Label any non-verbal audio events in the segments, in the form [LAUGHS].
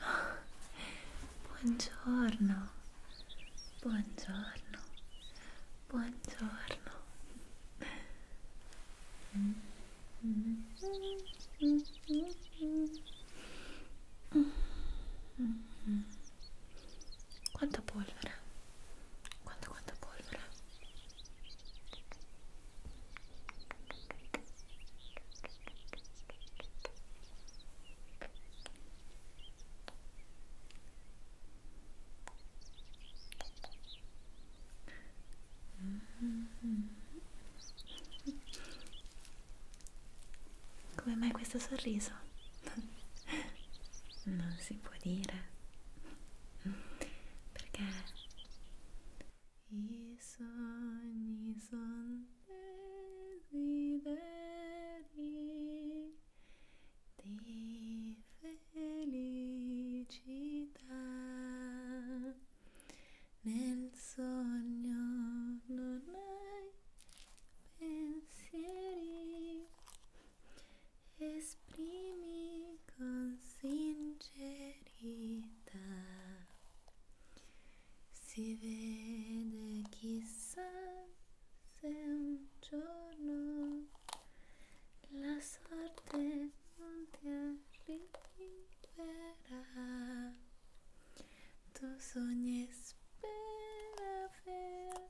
Oh, buongiorno, buongiorno, buongiorno. Mm. Mm. Mm. Mm. Mm. Quanta polvere? Quanta, quanta polvere? Mm-hmm. Come mai questo sorriso? non si può dire perché i sogni sono desideri di felicità nel sogno non hai pensieri esprimi con sincerità si vede chissà se un giorno la sorte non ti arriverà tu sogni e spera per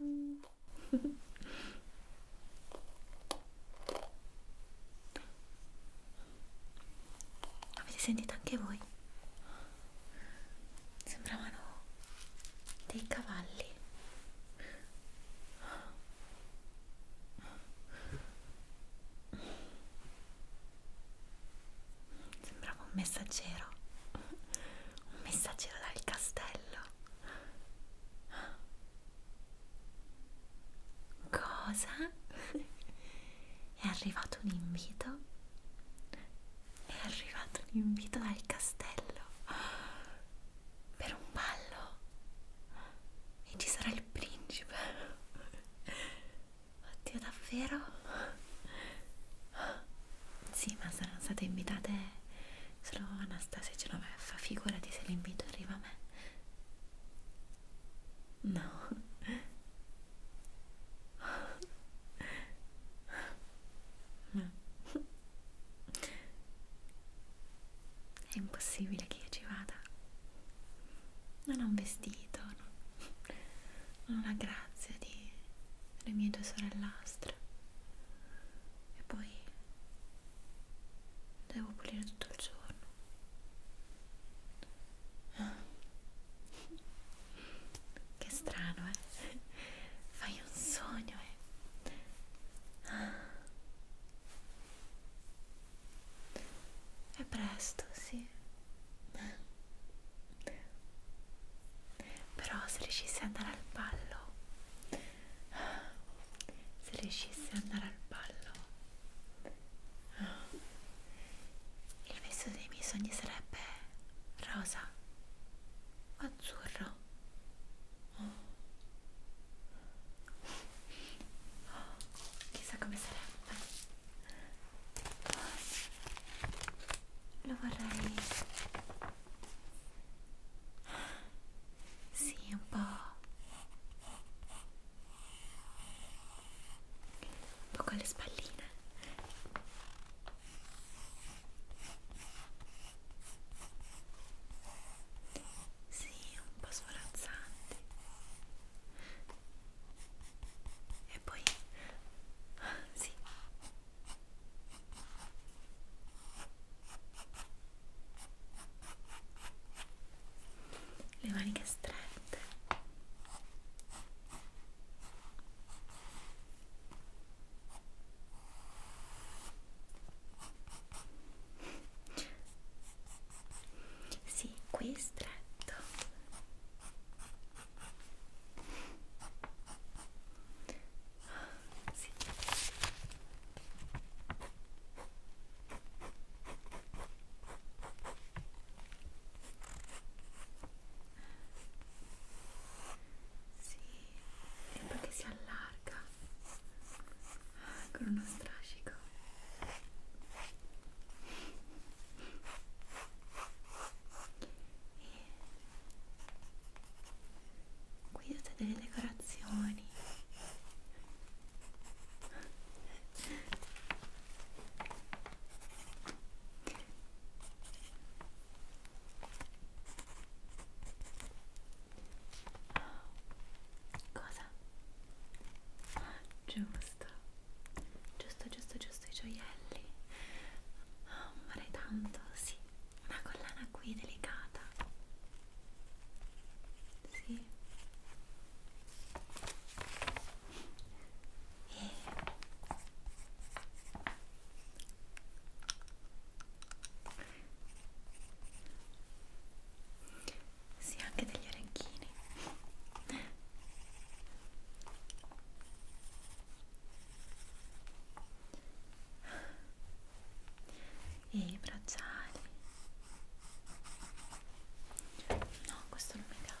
Mm. Avete sentito anche voi? Sembravano dei cavalli. Sembrava un messaggero, un messaggero dal castello. Cosa? [LAUGHS] È arrivato un invito? È arrivato un invito dal castello per un ballo e ci sarà il principe. [LAUGHS] Oddio, davvero? [LAUGHS] Sì, ma saranno state invitate se lo Anastasia ce lo fa, figurati se l'invito arriva a me. No. no. È impossibile che io ci vada. Non ho un vestito, no. non ho la grazia di le mie due sorellastre. E poi Devo pulire tutto il giorno. Ah. Che strano, eh? Fai un sogno, eh? Ah. È presto, sì. Però se riuscissi ad andare al ballo se riuscisse ad andare al ballo il viso dei miei sogni sarebbe rosa o azzurro oh. Oh, chissà come sarebbe lo vorrei sì, un po'. Un po' con le spalline. Sì, un po' sforazzanti. E poi... Sì le maniche strette sì, qui è stretto sì. Sì, e poi che si allarga con uno strascico. E qui avete delle decorazioni cosa? Ah, giusto giusto giusto giusto i gioielli amarei oh, tanto sì una collana qui delicata sì e sì, anche degli orecchini e i bracciali no questo non mi piace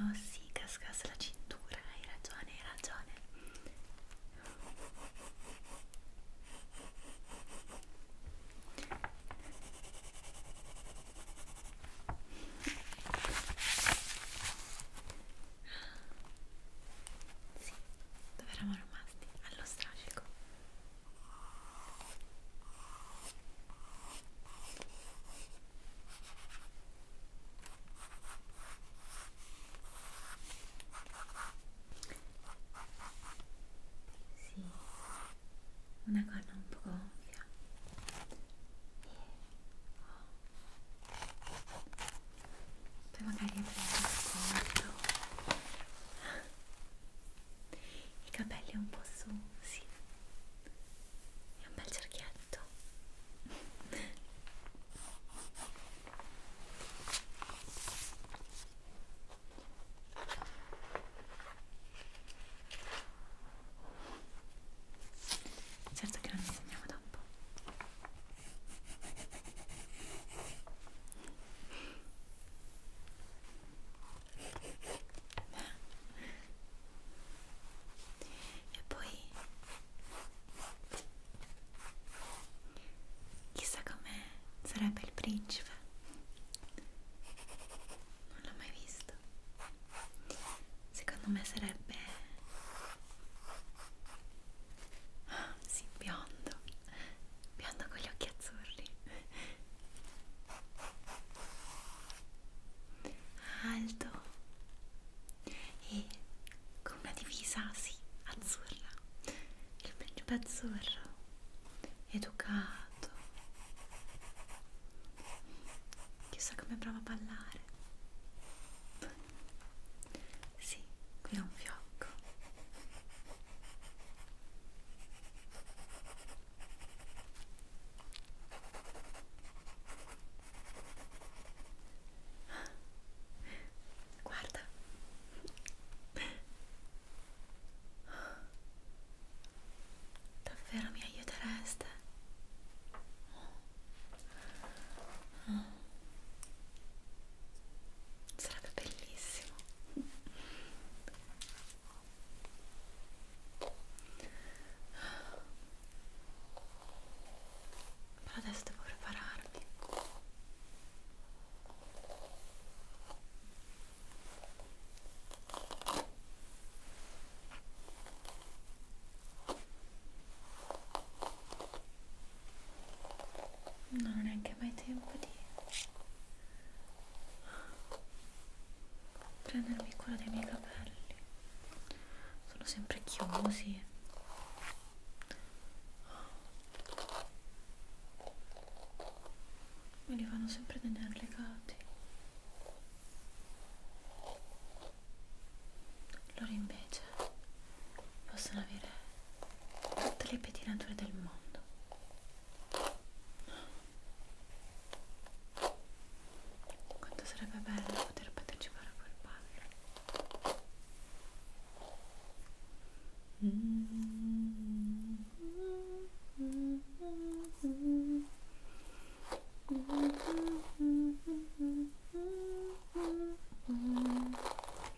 Oh sì, cascasse la cintura, hai ragione, hai ragione. Sì, dove eravamo rimasti? Allo strascico. Sì, una corna un po' gonfia. E... Oh poi magari prendo sconto i capelli un po' su, sì è un bel cerchietto certo che non disegniamo dopo e poi chissà come sarebbe il principe. Non l'ho mai visto. Secondo me sarebbe Ah, sì, biondo, biondo con gli occhi azzurri. Alto e con una divisa, sì, azzurra. Il principe azzurro, educato. Chissà come prova a ballare. Sì, qui è un fiocco. Guarda. Davvero mi aiutereste? Oh. Oh sarebbe bellissimo però adesso devo prepararmi non ho neanche mai tempo di prendermi cura dei miei capelli sono sempre chiusi me li fanno sempre tenere legati loro invece camicie cioè, possono avere tutte le pettinature del mondo quanto sarebbe bello poter partecipare a quel ballo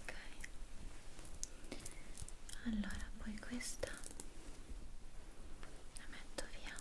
ok allora poi questa la metto via ok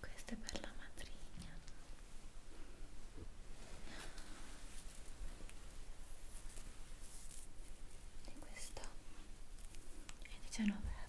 questa è per la matrigna. E questa è 19F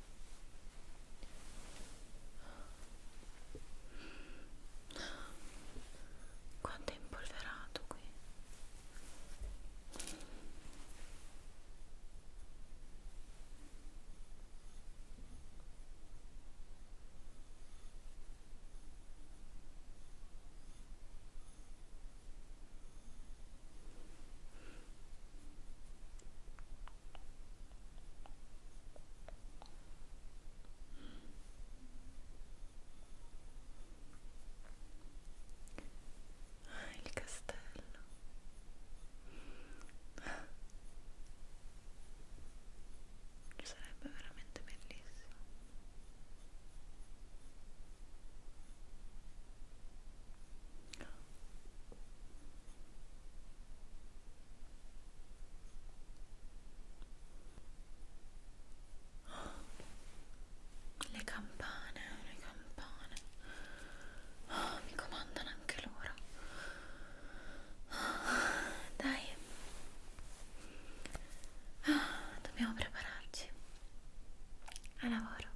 Quanto è impolverato qui? Ah, il castello. Ah. Sarebbe veramente bellissimo. Le campane, le campane. Oh, mi comandano anche loro. Oh, dai. Oh, dobbiamo prepararci. A lavoro.